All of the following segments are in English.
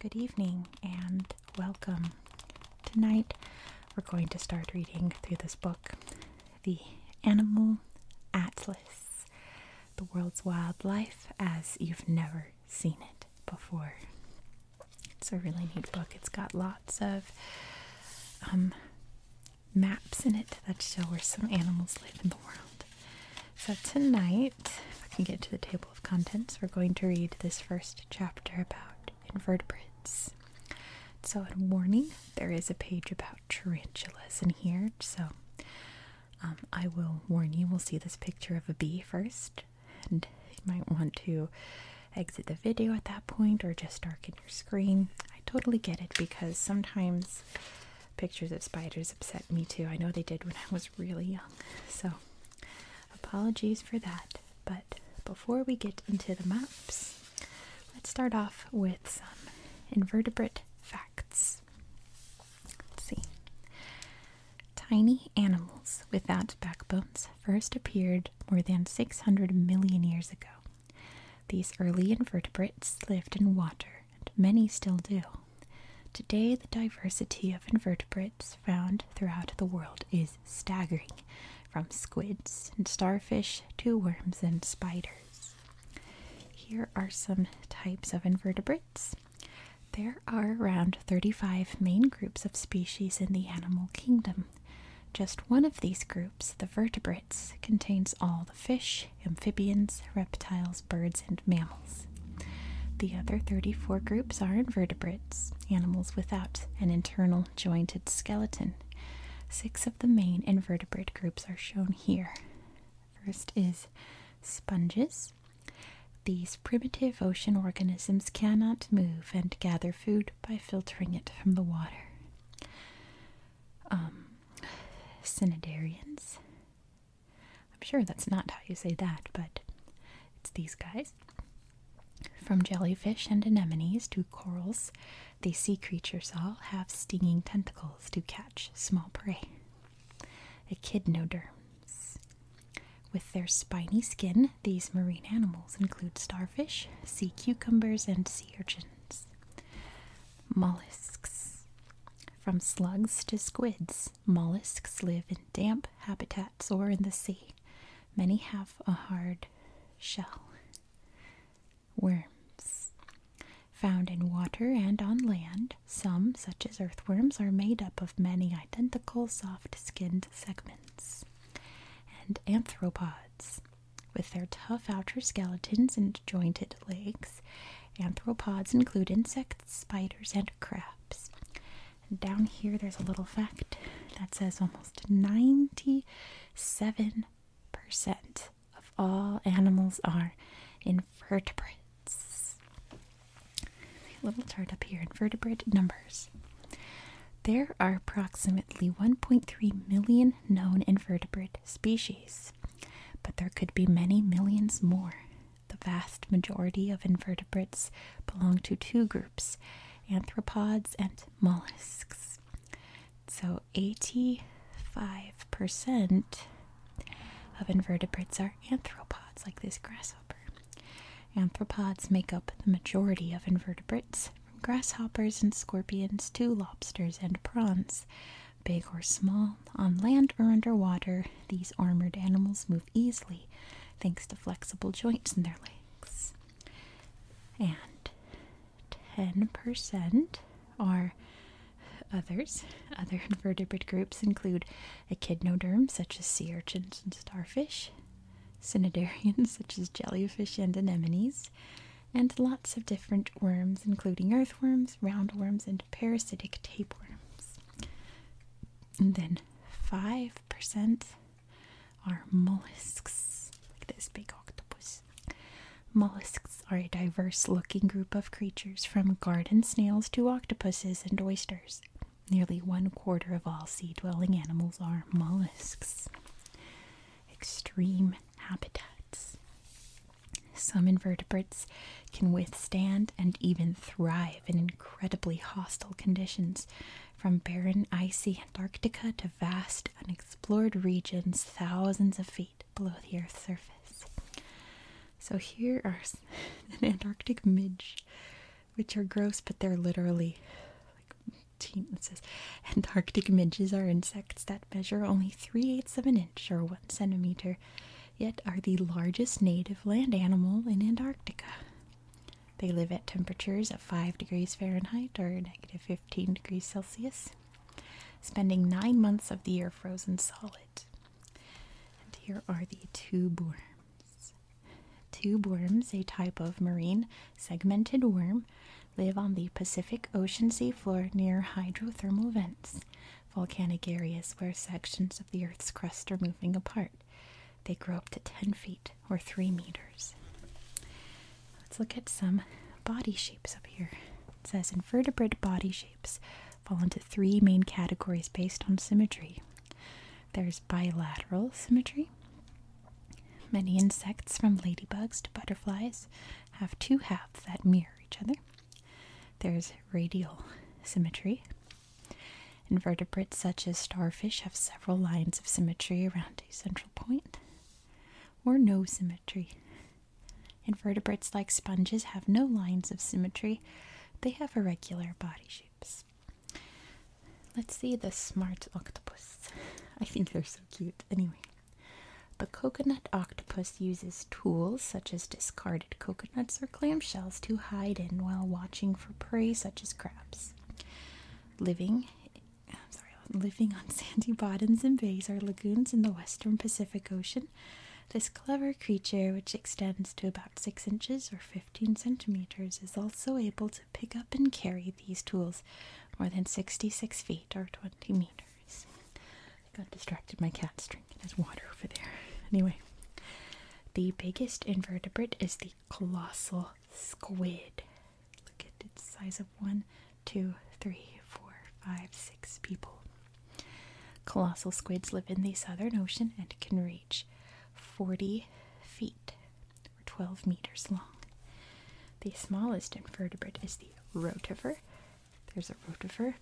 Good evening and welcome. Tonight we're going to start reading through this book, The Animal Atlas The World's Wildlife as You've Never Seen It Before. It's a really neat book. It's got lots of um, maps in it that show where some animals live in the world. So tonight, if I can get to the table of contents, we're going to read this first chapter about invertebrates. So, a warning, there is a page about tarantulas in here, so um, I will warn you, we'll see this picture of a bee first, and you might want to exit the video at that point or just start your screen. I totally get it because sometimes pictures of spiders upset me too. I know they did when I was really young. So, apologies for that. But before we get into the maps, let's start off with some invertebrate facts. see. Tiny animals without backbones first appeared more than 600 million years ago. These early invertebrates lived in water, and many still do. Today, the diversity of invertebrates found throughout the world is staggering, from squids and starfish to worms and spiders. Here are some types of invertebrates. There are around 35 main groups of species in the animal kingdom. Just one of these groups, the vertebrates, contains all the fish, amphibians, reptiles, birds, and mammals. The other 34 groups are invertebrates, animals without an internal jointed skeleton. Six of the main invertebrate groups are shown here. First is sponges. These primitive ocean organisms cannot move and gather food by filtering it from the water um, I'm sure that's not how you say that, but it's these guys. From jellyfish and anemones to corals, these sea creatures all have stinging tentacles to catch small prey. Echinoderms, With their spiny skin, these marine animals include starfish, sea cucumbers, and sea urchins. Mollusks. From slugs to squids, mollusks live in damp habitats or in the sea. Many have a hard shell. Worms. Found in water and on land, some, such as earthworms, are made up of many identical soft skinned segments. And anthropods. With their tough outer skeletons and jointed legs, anthropods include insects, spiders, and crabs. down here, there's a little fact that says almost 97% of all animals are invertebrates. A little chart up here invertebrate numbers. There are approximately 1.3 million known invertebrate species, but there could be many millions more. The vast majority of invertebrates belong to two groups arthropods and mollusks. So 85% of invertebrates are arthropods, like this grasshopper. Arthropods make up the majority of invertebrates, from grasshoppers and scorpions to lobsters and prawns. Big or small, on land or underwater, these armored animals move easily thanks to flexible joints in their legs. And 10% are others. Other invertebrate groups include echidnoderms such as sea urchins and starfish, cnidarians such as jellyfish and anemones, and lots of different worms, including earthworms, roundworms, and parasitic tapeworms. And then 5% are mollusks, like this big octopus. Mollusks are a diverse looking group of creatures, from garden snails to octopuses and oysters. Nearly one quarter of all sea dwelling animals are mollusks. Extreme habitats. Some invertebrates can withstand and even thrive in incredibly hostile conditions, from barren, icy Antarctica to vast, unexplored regions thousands of feet below the Earth's surface. So, here are an Antarctic midge, which are gross, but they're literally like. It Antarctic midges are insects that measure only 3 eighths of an inch or 1 centimeter, yet are the largest native land animal in Antarctica. They live at temperatures of 5 degrees Fahrenheit or negative 15 degrees Celsius, spending nine months of the year frozen solid. And here are the tube worms. Tube worms, a type of marine segmented worm, live on the Pacific Ocean seafloor near hydrothermal vents, volcanic areas where sections of the Earth's crust are moving apart. They grow up to 10 feet or 3 meters. Let's look at some body shapes up here. It says invertebrate body shapes fall into three main categories based on symmetry. There's bilateral symmetry. Many insects, from ladybugs to butterflies, have two halves that mirror each other there's radial symmetry. Invertebrates such as starfish have several lines of symmetry around a central point, or no symmetry. Invertebrates like sponges have no lines of symmetry, they have irregular body shapes. Let's see the smart octopus. I think they're so cute. Anyway, the coconut octopus uses tools such as discarded coconuts or clamshells to hide in while watching for prey such as crabs. Living sorry, living on sandy bottoms and bays or lagoons in the western Pacific Ocean, this clever creature, which extends to about 6 inches or 15 centimeters, is also able to pick up and carry these tools more than 66 feet or 20 meters. I got distracted. My cat's drinking his water over there. Anyway, the biggest invertebrate is the colossal squid. Look at its size of one, two, three, four, five, six people. Colossal squids live in the Southern Ocean and can reach 40 feet or 12 meters long. The smallest invertebrate is the rotifer, there's a rotifer,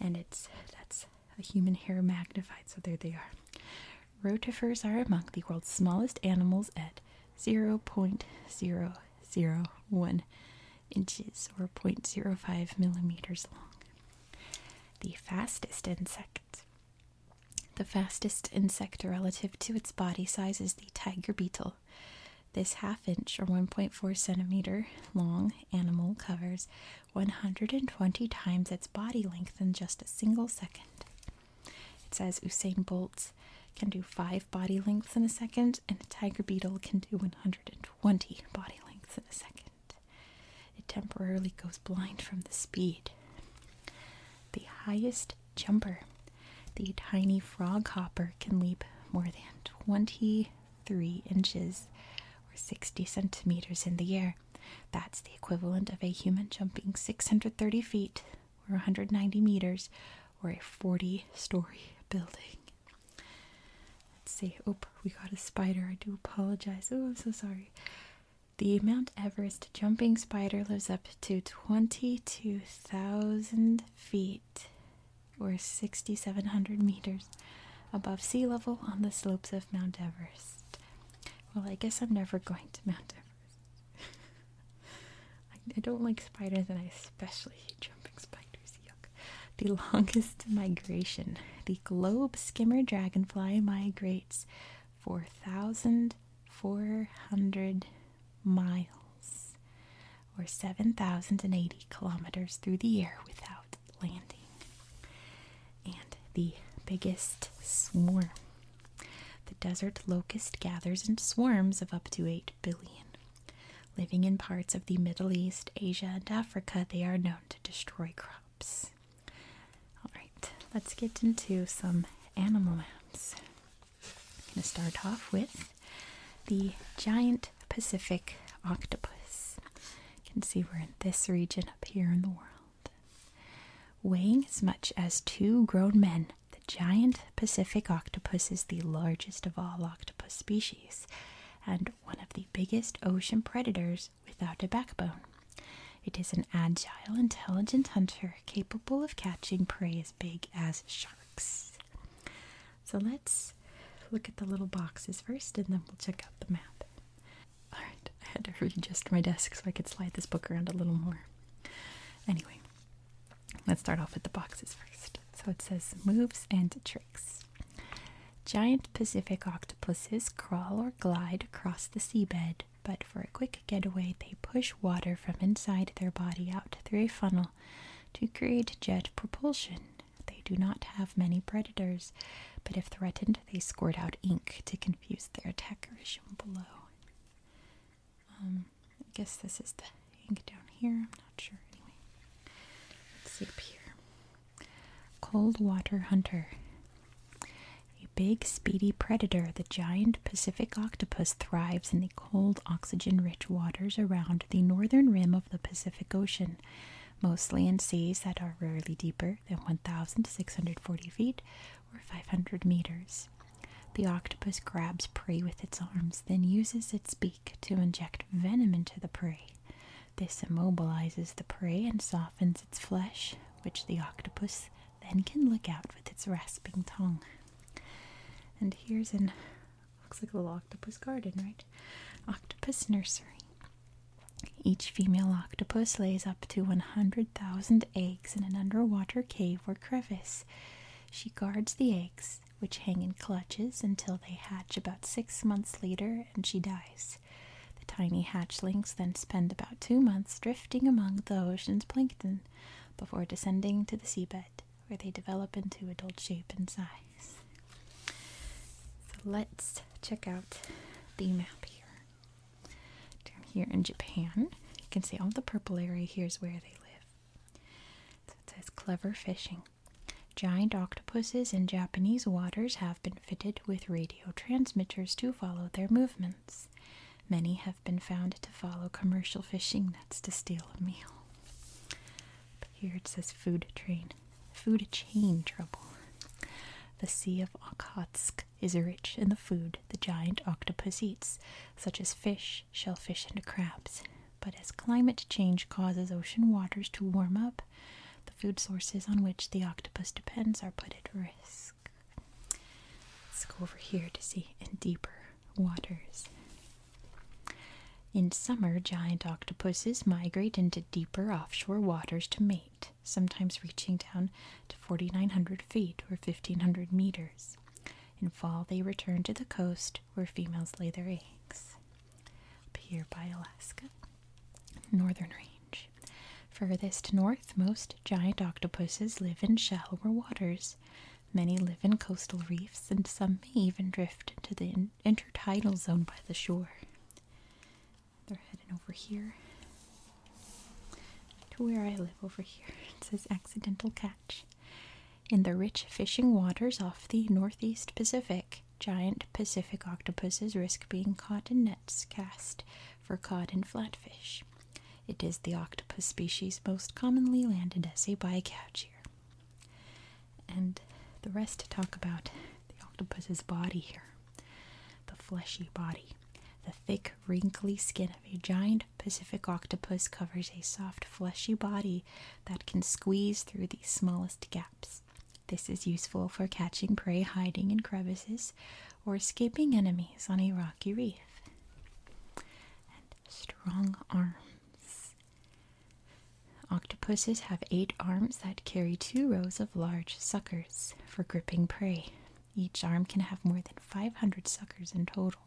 and it's that's a human hair magnified. So there they are. Rotifers are among the world's smallest animals at 0.001 inches or 0.05 millimeters long. The fastest insect. The fastest insect relative to its body size is the tiger beetle, this half inch or 1.4 centimeter long animal covers 120 times its body length in just a single second. It says Usain Bolts can do 5 body lengths in a second, and a tiger beetle can do 120 body lengths in a second. It temporarily goes blind from the speed. The highest jumper, the tiny frog hopper, can leap more than 20 three inches or 60 centimeters in the air. That's the equivalent of a human jumping 630 feet or 190 meters or a 40 story building. Let's see. Oh, we got a spider. I do apologize. Oh, I'm so sorry. The Mount Everest jumping spider lives up to 22,000 feet feet or 6,700 meters above sea level on the slopes of Mount Everest. Well, I guess I'm never going to Mount Everest. I don't like spiders, and I especially hate jumping spiders. Yuck. The longest migration. The globe skimmer dragonfly migrates 4,400 miles or 7,080 kilometers through the air without landing. And the biggest swarm. The desert locust gathers in swarms of up to 8 billion. Living in parts of the Middle East, Asia, and Africa, they are known to destroy crops. Alright, let's get into some animal maps. I'm going to start off with the giant Pacific octopus. You can see we're in this region up here in the world. Weighing as much as two grown men, the giant Pacific octopus is the largest of all octopus species and one of the biggest ocean predators without a backbone. It is an agile, intelligent hunter capable of catching prey as big as sharks. So let's look at the little boxes first and then we'll check out the map. Alright, I had to readjust my desk so I could slide this book around a little more. Anyway, let's start off with the boxes first. So it says moves and tricks. Giant Pacific octopuses crawl or glide across the seabed, but for a quick getaway, they push water from inside their body out through a funnel to create jet propulsion. They do not have many predators, but if threatened, they squirt out ink to confuse their attackers. Shown below. Um, I guess this is the ink down here. I'm not sure. Anyway, let's see up here. Cold water hunter. A big, speedy predator, the giant Pacific octopus thrives in the cold, oxygen rich waters around the northern rim of the Pacific Ocean mostly in seas that are rarely deeper than 1,640 feet or 500 meters. The octopus grabs prey with its arms, then uses its beak to inject venom into the prey. This immobilizes the prey and softens its flesh, which the octopus then can lick out with its rasping tongue. And here's an Looks like a little octopus garden, right? Octopus nursery. Each female octopus lays up to 100,000 eggs in an underwater cave or crevice. She guards the eggs, which hang in clutches until they hatch about six months later and she dies. The tiny hatchlings then spend about two months drifting among the ocean's plankton before descending to the seabed, where they develop into adult shape and size. So let's check out the map here. Down here in Japan, you can see all the purple area here is where they live. So it says clever fishing. Giant octopuses in Japanese waters have been fitted with radio transmitters to follow their movements. Many have been found to follow commercial fishing nets to steal a meal. But here it says food train, food chain trouble. The Sea of Okhotsk is rich in the food the giant octopus eats, such as fish, shellfish, and crabs. But as climate change causes ocean waters to warm up, the food sources on which the octopus depends are put at risk. Let's go over here to see in deeper waters. In summer, giant octopuses migrate into deeper offshore waters to mate, sometimes reaching down to 4,900 feet or 1,500 meters. In fall, they return to the coast where females lay their eggs. Up here by Alaska, Northern Range. Furthest north, most giant octopuses live in shallower waters. Many live in coastal reefs, and some may even drift into the intertidal zone by the shore. They're heading over here to where I live over here. It says accidental catch. In the rich fishing waters off the northeast Pacific, giant Pacific octopuses risk being caught in nets cast for cod and flatfish. It is the octopus species most commonly landed as a bycatch here. And the rest talk about the octopus's body here the fleshy body. The thick, wrinkly skin of a giant Pacific octopus covers a soft, fleshy body that can squeeze through the smallest gaps. This is useful for catching prey hiding in crevices or escaping enemies on a rocky reef. And strong arms. Octopuses have eight arms that carry two rows of large suckers for gripping prey. Each arm can have more than 500 suckers in total.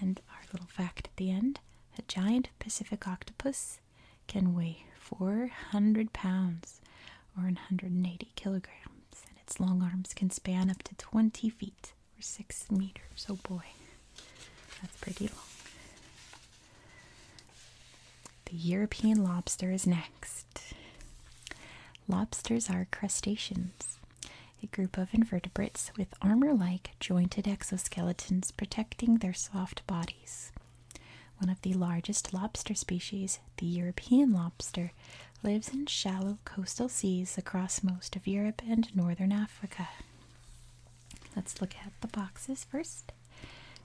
And our little fact at the end a giant Pacific octopus can weigh 400 pounds or 180 kilograms, and its long arms can span up to 20 feet or 6 meters. Oh boy, that's pretty long. The European lobster is next. Lobsters are crustaceans, a group of invertebrates with armor like jointed exoskeletons protecting their soft bodies. One of the largest lobster species, the European lobster, lives in shallow coastal seas across most of Europe and northern Africa. Let's look at the boxes first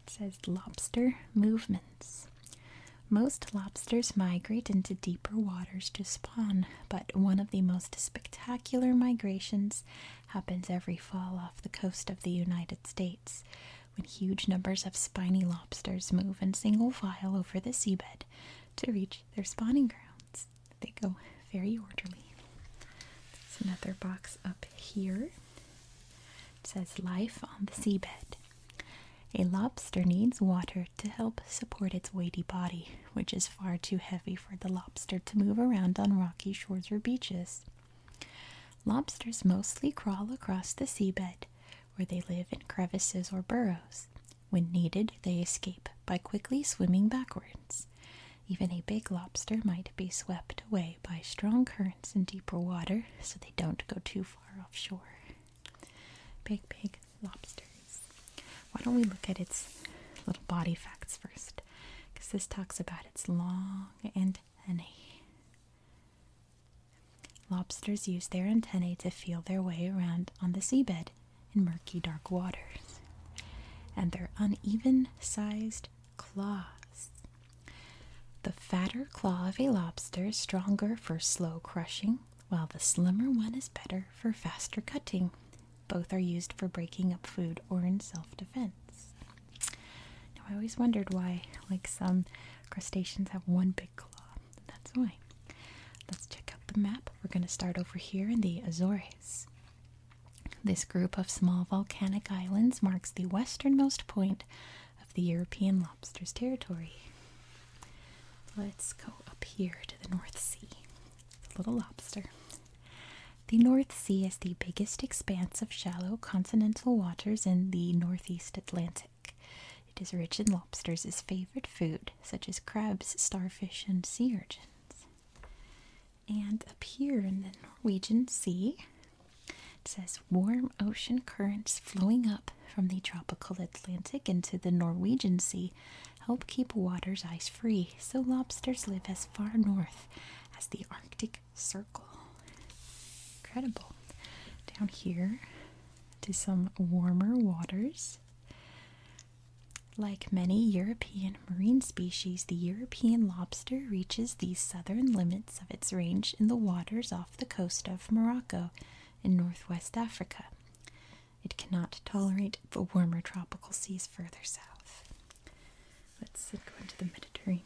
says lobster movements. Most lobsters migrate into deeper waters to spawn, but one of the most spectacular migrations happens every fall off the coast of the United States when huge numbers of spiny lobsters move in single file over the seabed to reach their spawning grounds. They go very orderly. It's another box up here. It says Life on the Seabed. A lobster needs water to help support its weighty body, which is far too heavy for the lobster to move around on rocky shores or beaches. Lobsters mostly crawl across the seabed, where they live in crevices or burrows. When needed, they escape by quickly swimming backwards. Even a big lobster might be swept away by strong currents in deeper water so they don't go too far offshore. Big, big lobsters. Why don't we look at its little body facts first? Because this talks about its long antennae. Lobsters use their antennae to feel their way around on the seabed in murky, dark waters. And their uneven sized claws. The fatter claw of a lobster is stronger for slow crushing, while the slimmer one is better for faster cutting. Both are used for breaking up food or in self defense. Now, I always wondered why, like some crustaceans, have one big claw. That's why. Let's check out the map. We're going to start over here in the Azores. This group of small volcanic islands marks the westernmost point of the European lobster's territory. Let's go up here to the North Sea. It's little lobster. The North Sea is the biggest expanse of shallow continental waters in the Northeast Atlantic. It is rich in lobsters favorite food, such as crabs, starfish, and sea urchins and up here in the Norwegian Sea. It says warm ocean currents flowing up from the tropical Atlantic into the Norwegian Sea help keep waters ice free, so lobsters live as far north as the Arctic Circle. Incredible. Down here to some warmer waters. Like many European marine species, the European lobster reaches the southern limits of its range in the waters off the coast of Morocco in northwest Africa. It cannot tolerate the warmer tropical seas further south. Let's go into the Mediterranean.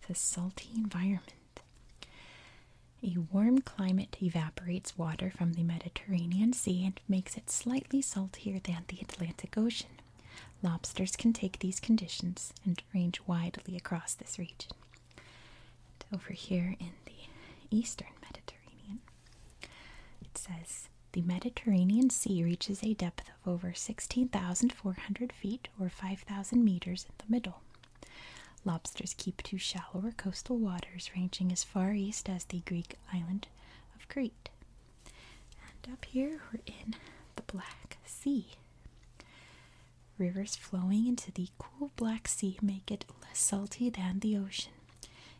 It's a salty environment. A warm climate evaporates water from the Mediterranean Sea and makes it slightly saltier than the Atlantic Ocean. Lobsters can take these conditions and range widely across this region. over here in the eastern Mediterranean, it says the Mediterranean Sea reaches a depth of over 16,400 feet or 5,000 meters in the middle. Lobsters keep to shallower coastal waters ranging as far east as the Greek island of Crete. And up here, we're in the Black Sea. Rivers flowing into the cool Black Sea make it less salty than the ocean.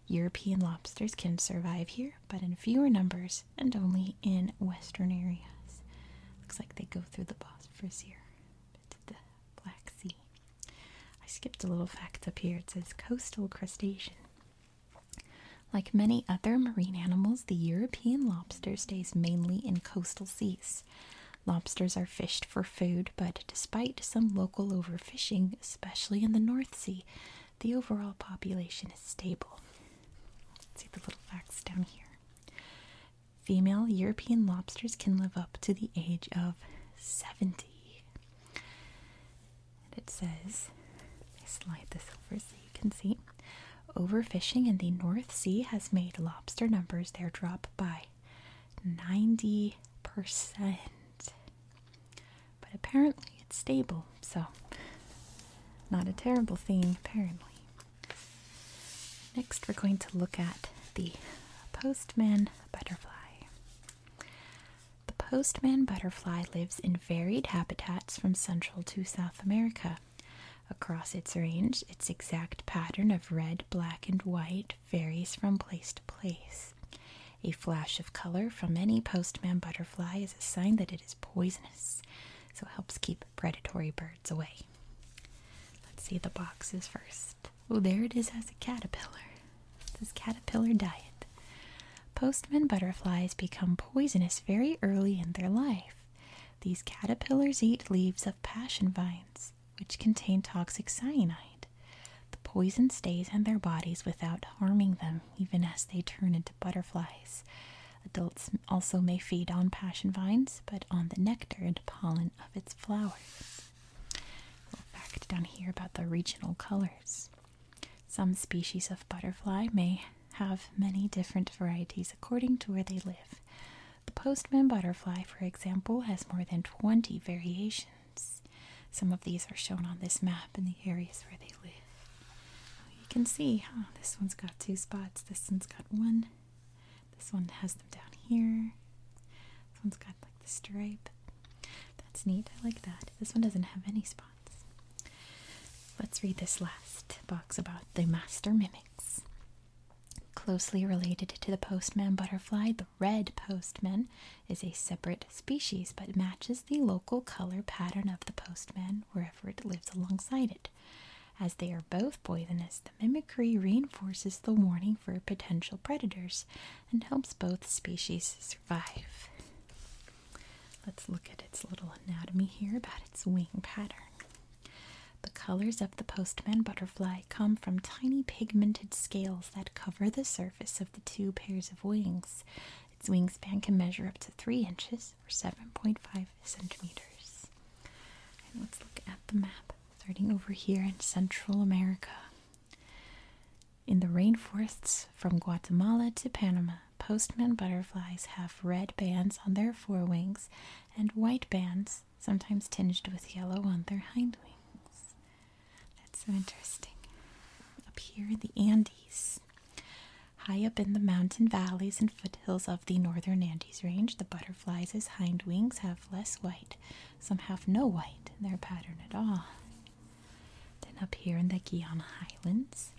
European lobsters can survive here, but in fewer numbers and only in western areas. Looks like they go through the Bosphorus here to the Black Sea. I skipped a little fact up here. It says coastal crustacean. Like many other marine animals, the European lobster stays mainly in coastal seas. Lobsters are fished for food, but despite some local overfishing, especially in the North Sea, the overall population is stable. see the little facts down here. Female European lobsters can live up to the age of 70. And it says, I slide this over so you can see. Overfishing in the North Sea has made lobster numbers there drop by 90%. But apparently it's stable, so not a terrible thing, apparently. Next, we're going to look at the postman butterfly. The postman butterfly lives in varied habitats from Central to South America. Across its range, its exact pattern of red, black, and white varies from place to place. A flash of color from any postman butterfly is a sign that it is poisonous, so it helps keep predatory birds away. Let's see the boxes first. Oh, there it is as a caterpillar. This caterpillar diet. Postman butterflies become poisonous very early in their life. These caterpillars eat leaves of passion vines, which contain toxic cyanide. The poison stays in their bodies without harming them, even as they turn into butterflies. Adults also may feed on passion vines, but on the nectar and pollen of its flowers. little fact down here about the regional colors. Some species of butterfly may have many different varieties according to where they live. The postman butterfly, for example, has more than 20 variations. Some of these are shown on this map in the areas where they live. You can see oh, this one's got two spots, this one's got one, this one has them down here, this one's got like the stripe. That's neat, I like that. This one doesn't have any spots. Let's read this last box about the master mimics. Closely related to the postman butterfly, the red postman is a separate species but matches the local color pattern of the postman wherever it lives alongside it. As they are both poisonous, the mimicry reinforces the warning for potential predators and helps both species survive. Let's look at its little anatomy here about its wing pattern. The colors of the postman butterfly come from tiny pigmented scales that cover the surface of the two pairs of wings. Its wingspan can measure up to 3 inches or 7.5 centimeters. And let's look at the map, starting over here in Central America. In the rainforests from Guatemala to Panama, postman butterflies have red bands on their forewings and white bands, sometimes tinged with yellow, on their hindwings. That's so interesting. Up here in the Andes, high up in the mountain valleys and foothills of the northern Andes range, the butterflies' hindwings have less white. Some have no white in their pattern at all. Then up here in the Guiana Highlands,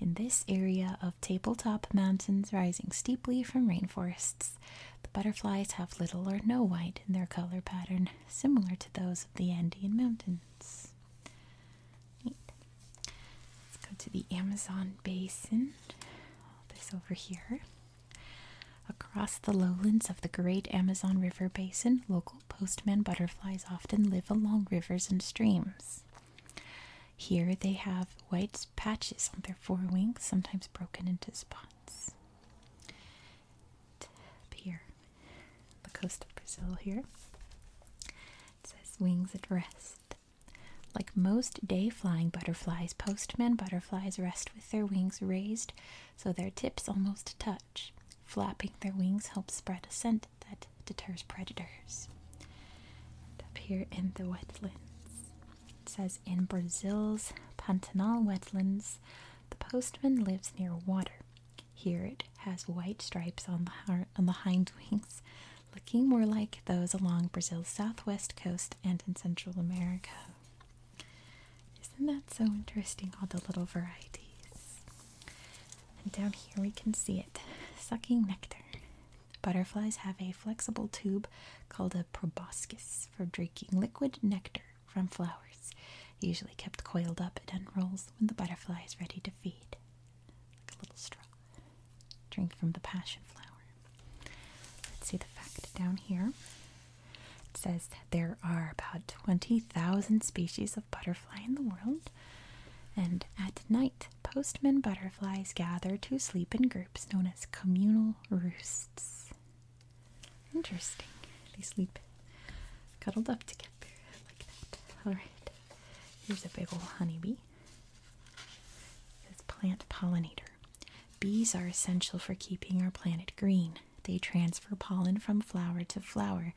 in this area of tabletop mountains rising steeply from rainforests, the butterflies have little or no white in their color pattern, similar to those of the Andean mountains. Let's go to the Amazon basin. This over here. Across the lowlands of the great Amazon River basin, local postman butterflies often live along rivers and streams. Here they have white patches on their forewings, sometimes broken into spots. here, the coast of Brazil here. It says wings at rest. Like most day flying butterflies, postman butterflies rest with their wings raised so their tips almost touch. Flapping their wings helps spread a scent that deters predators. up here in the wetlands, it says in Brazil's Pantanal wetlands, the postman lives near water. Here it has white stripes on the on the hind wings, looking more like those along Brazil's southwest coast and in Central America. Isn't that so interesting? All the little varieties. And down here we can see it sucking nectar. Butterflies have a flexible tube called a proboscis for drinking liquid nectar from flowers, usually kept coiled up. and unrolls when the butterfly is ready to feed, like a little straw. Drink from the passion flower. Let's see the fact down here. It says there are about 20,000 species of butterfly in the world, and at night postman butterflies gather to sleep in groups known as communal roosts. Interesting. They sleep cuddled up together like that. Alright, here's a big old honeybee. This plant pollinator. Bees are essential for keeping our planet green. They transfer pollen from flower to flower,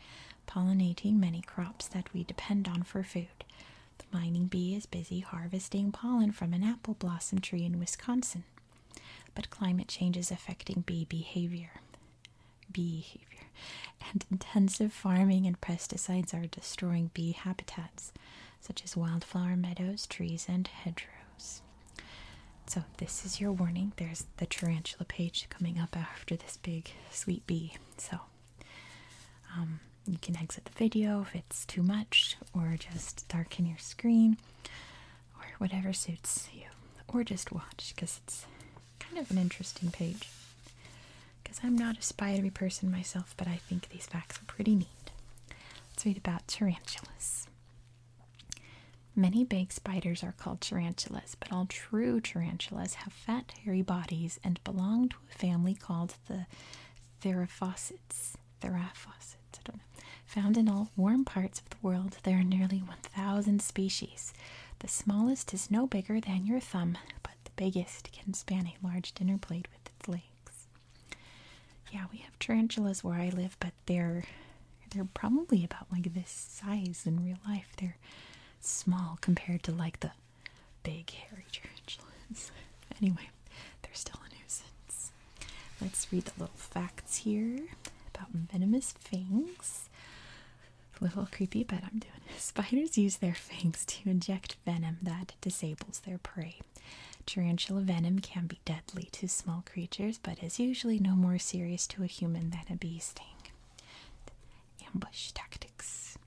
pollinating many crops that we depend on for food. The mining bee is busy harvesting pollen from an apple blossom tree in Wisconsin. But climate change is affecting bee behavior. Behavior. And intensive farming and pesticides are destroying bee habitats, such as wildflower meadows, trees, and hedgerows. So, this is your warning. There's the tarantula page coming up after this big sweet bee. So, um, you can exit the video if it's too much, or just darken your screen, or whatever suits you, or just watch because it's kind of an interesting page. Because I'm not a spidery person myself, but I think these facts are pretty neat. Let's read about tarantulas. Many big spiders are called tarantulas, but all true tarantulas have fat, hairy bodies and belong to a family called the theraphocytes, theraphocytes, I don't know, found in all warm parts of the world. There are nearly 1,000 species. The smallest is no bigger than your thumb, but the biggest can span a large dinner plate with its legs. Yeah, we have tarantulas where I live, but they're they're probably about like this size in real life. They're small compared to like the big hairy tarantulas. anyway, they're still a nuisance. Let's read the little facts here about venomous fangs. little creepy, but I'm doing it. Spiders use their fangs to inject venom that disables their prey. Tarantula venom can be deadly to small creatures, but is usually no more serious to a human than a bee sting. Ambush tactics.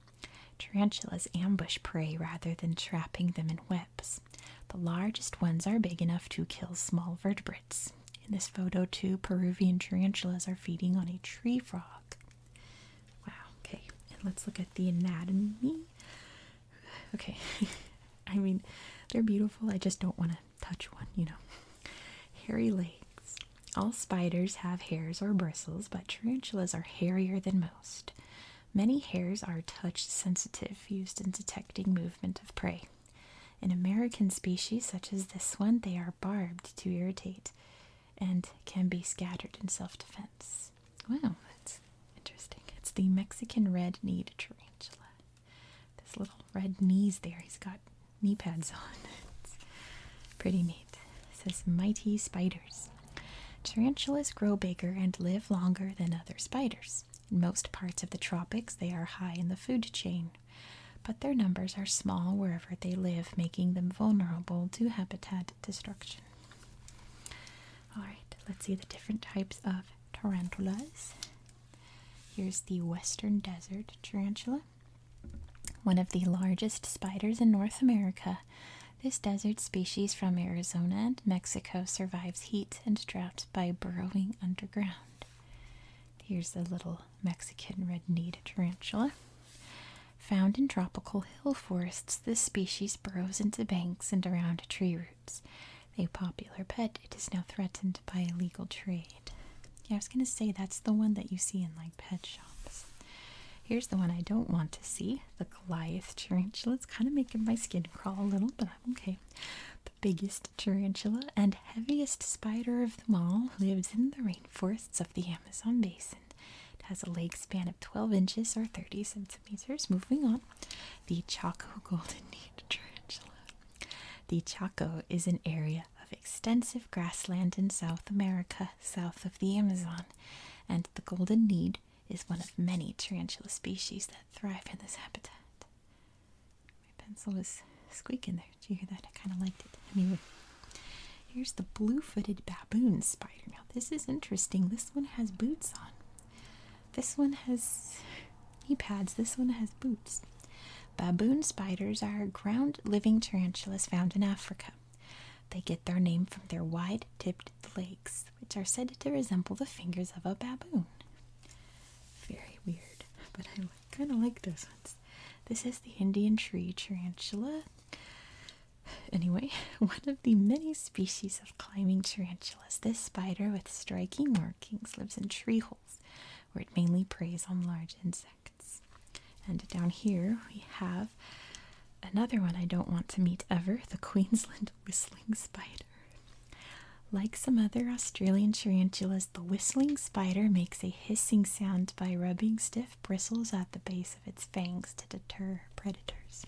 Tarantulas ambush prey rather than trapping them in webs. The largest ones are big enough to kill small vertebrates. In this photo, two Peruvian tarantulas are feeding on a tree frog. Wow, okay, and let's look at the anatomy. Okay, I mean, they're beautiful, I just don't want to touch one, you know. Hairy legs. All spiders have hairs or bristles, but tarantulas are hairier than most. Many hairs are touch sensitive, used in detecting movement of prey. In American species such as this one, they are barbed to irritate and can be scattered in self defense. Wow, that's interesting. It's the Mexican red knee tarantula. This little red knees there, he's got knee pads on. It's pretty neat. It says mighty spiders. Tarantulas grow bigger and live longer than other spiders. In most parts of the tropics, they are high in the food chain, but their numbers are small wherever they live, making them vulnerable to habitat destruction. Alright, let's see the different types of tarantulas. Here's the western desert tarantula, one of the largest spiders in North America, this desert species from Arizona and Mexico survives heat and drought by burrowing underground. Here's the little Mexican red-kneed tarantula. Found in tropical hill forests, this species burrows into banks and around tree roots. A popular pet, it is now threatened by illegal trade. Yeah, I was going to say that's the one that you see in like pet shops. Here's the one I don't want to see the Goliath tarantula. It's kind of making my skin crawl a little, but I'm okay. The biggest tarantula and heaviest spider of them all lives in the rainforests of the Amazon basin. It has a leg span of 12 inches or 30 centimeters. Moving on, the Chaco golden kneed tarantula. The Chaco is an area of extensive grassland in South America, south of the Amazon, and the golden kneed is one of many tarantula species that thrive in this habitat. My pencil is squeaking there. Do you hear that? I kind of liked it. Anyway, here's the blue-footed baboon spider. Now, this is interesting. This one has boots on. This one has he pads. This one has boots. Baboon spiders are ground-living tarantulas found in Africa. They get their name from their wide-tipped legs which are said to resemble the fingers of a baboon. Very weird, but I kind of like those ones. This is the Indian tree tarantula. Anyway, one of the many species of climbing tarantulas, this spider with striking markings lives in tree holes where it mainly preys on large insects. And down here we have another one I don't want to meet ever the Queensland whistling spider. Like some other Australian tarantulas, the whistling spider makes a hissing sound by rubbing stiff bristles at the base of its fangs to deter predators.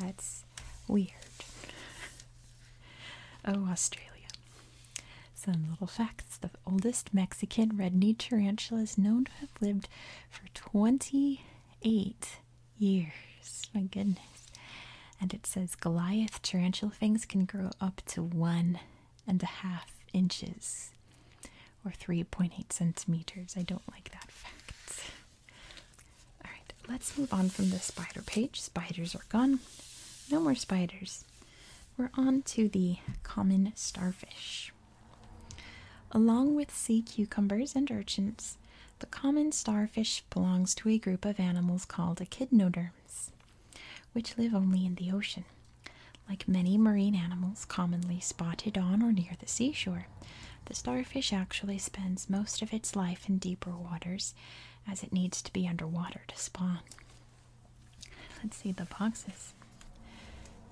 that's weird. oh, Australia. Some little facts. The oldest Mexican red knee tarantula is known to have lived for 28 years. My goodness. And it says Goliath tarantula things can grow up to one and a half inches or 3.8 centimeters. I don't like that fact. Alright, let's move on from the spider page. Spiders are gone. No more spiders. We're on to the common starfish. Along with sea cucumbers and urchins, the common starfish belongs to a group of animals called echinoderms, which live only in the ocean. Like many marine animals commonly spotted on or near the seashore, the starfish actually spends most of its life in deeper waters as it needs to be underwater to spawn. Let's see the boxes.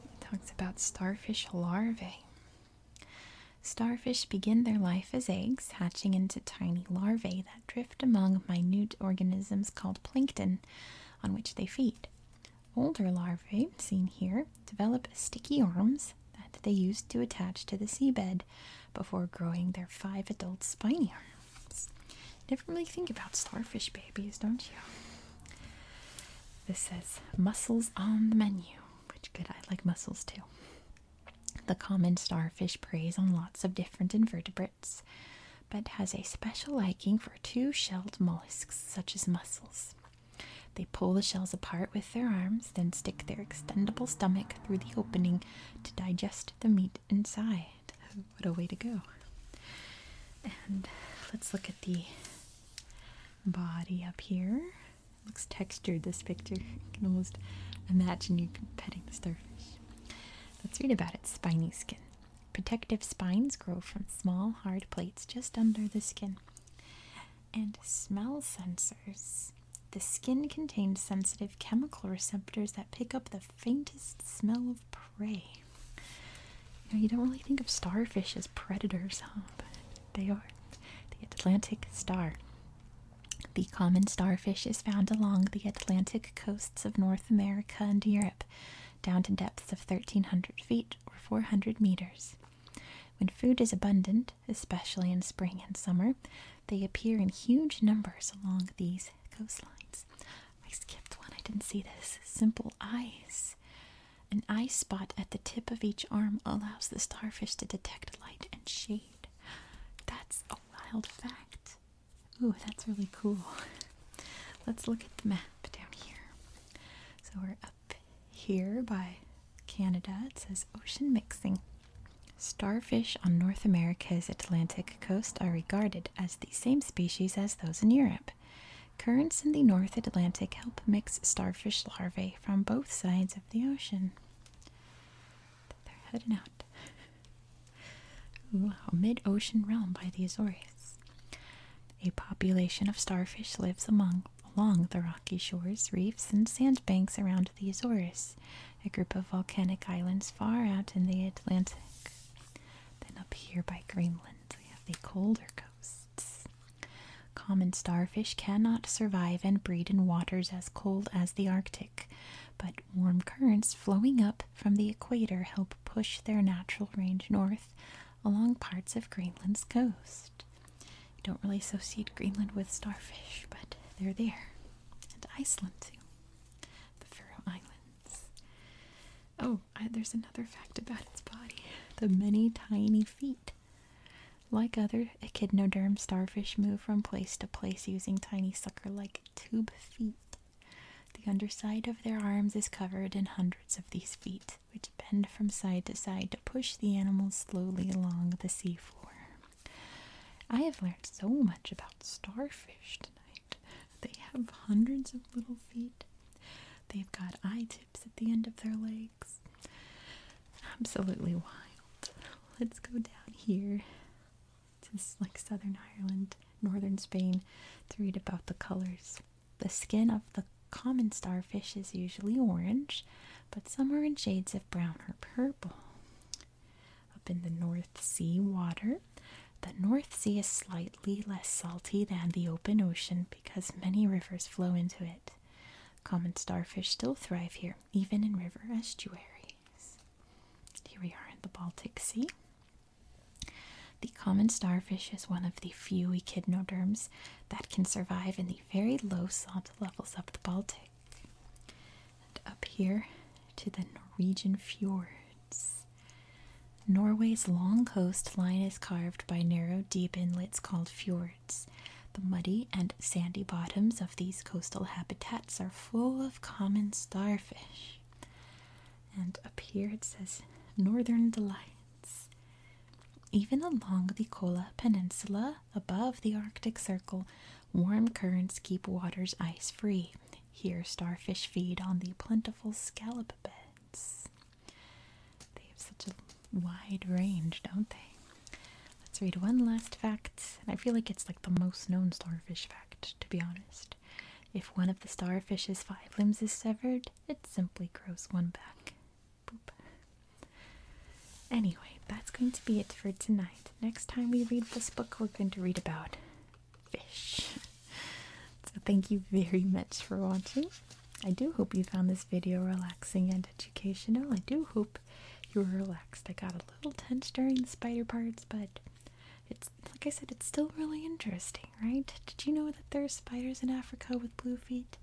It talks about starfish larvae. Starfish begin their life as eggs, hatching into tiny larvae that drift among minute organisms called plankton on which they feed. Older larvae, seen here, develop sticky arms that they use to attach to the seabed before growing their five adult spiny arms. Never really think about starfish babies, don't you? This says mussels on the menu which good, I like mussels too. The common starfish preys on lots of different invertebrates, but has a special liking for two shelled mollusks such as mussels. They pull the shells apart with their arms, then stick their extendable stomach through the opening to digest the meat inside. What a way to go! And let's look at the body up here looks textured, this picture. You can almost imagine you are petting the starfish. Let's read about it. spiny skin. Protective spines grow from small, hard plates just under the skin. And smell sensors. The skin contains sensitive chemical receptors that pick up the faintest smell of prey. You you don't really think of starfish as predators, huh? they are. The Atlantic star. The common starfish is found along the Atlantic coasts of North America and Europe, down to depths of 1,300 feet or 400 meters. When food is abundant, especially in spring and summer, they appear in huge numbers along these coastlines. I skipped one, I didn't see this. Simple eyes. An eye spot at the tip of each arm allows the starfish to detect light and shade. That's a wild fact. Ooh, that's really cool. Let's look at the map down here. So we're up here by Canada. It says ocean mixing. Starfish on North America's Atlantic coast are regarded as the same species as those in Europe. Currents in the North Atlantic help mix starfish larvae from both sides of the ocean. They're heading out. Wow, mid-ocean realm by the Azores. A population of starfish lives among along the rocky shores, reefs, and sandbanks around the Azores, a group of volcanic islands far out in the Atlantic. Then up here by Greenland, we have the colder coasts. Common starfish cannot survive and breed in waters as cold as the Arctic, but warm currents flowing up from the equator help push their natural range north along parts of Greenland's coast. don't really associate Greenland with starfish, but they're there. And Iceland, too. The Faroe Islands. Oh, there's another fact about its body the many tiny feet. Like other echinoderm starfish move from place to place using tiny sucker like tube feet. The underside of their arms is covered in hundreds of these feet, which bend from side to side to push the animal slowly along the seafloor. I have learned so much about starfish tonight. They have hundreds of little feet. They've got eye tips at the end of their legs. Absolutely wild. Let's go down here to like Southern Ireland, Northern Spain to read about the colors. The skin of the common starfish is usually orange, but some are in shades of brown or purple. Up in the North Sea water, the North Sea is slightly less salty than the open ocean because many rivers flow into it. Common starfish still thrive here, even in river estuaries. Here we are in the Baltic Sea. The common starfish is one of the few echinoderms that can survive in the very low salt levels of the Baltic. And up here to the Norwegian fjords. Norway's long coastline is carved by narrow, deep inlets called fjords. The muddy and sandy bottoms of these coastal habitats are full of common starfish. And up here it says Northern Delights. Even along the Kola Peninsula, above the Arctic Circle, warm currents keep waters ice free. Here, starfish feed on the plentiful scallop beds. They have such a wide range, don't they? Let's read one last fact, and I feel like it's like the most known starfish fact, to be honest. If one of the starfish's five limbs is severed, it simply grows one back. Boop. Anyway, that's going to be it for tonight. Next time we read this book, we're going to read about fish. so thank you very much for watching. I do hope you found this video relaxing and educational. I do hope you were relaxed. I got a little tense during the spider parts, but it's like I said, it's still really interesting, right? Did you know that there are spiders in Africa with blue feet?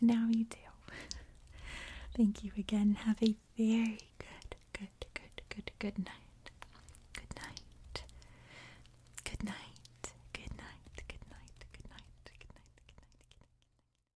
Now you do. Thank you again. Have a very good, good, good, good, Good night. Good night. Good night. Good night. Good night. Good night. Good night. Good night.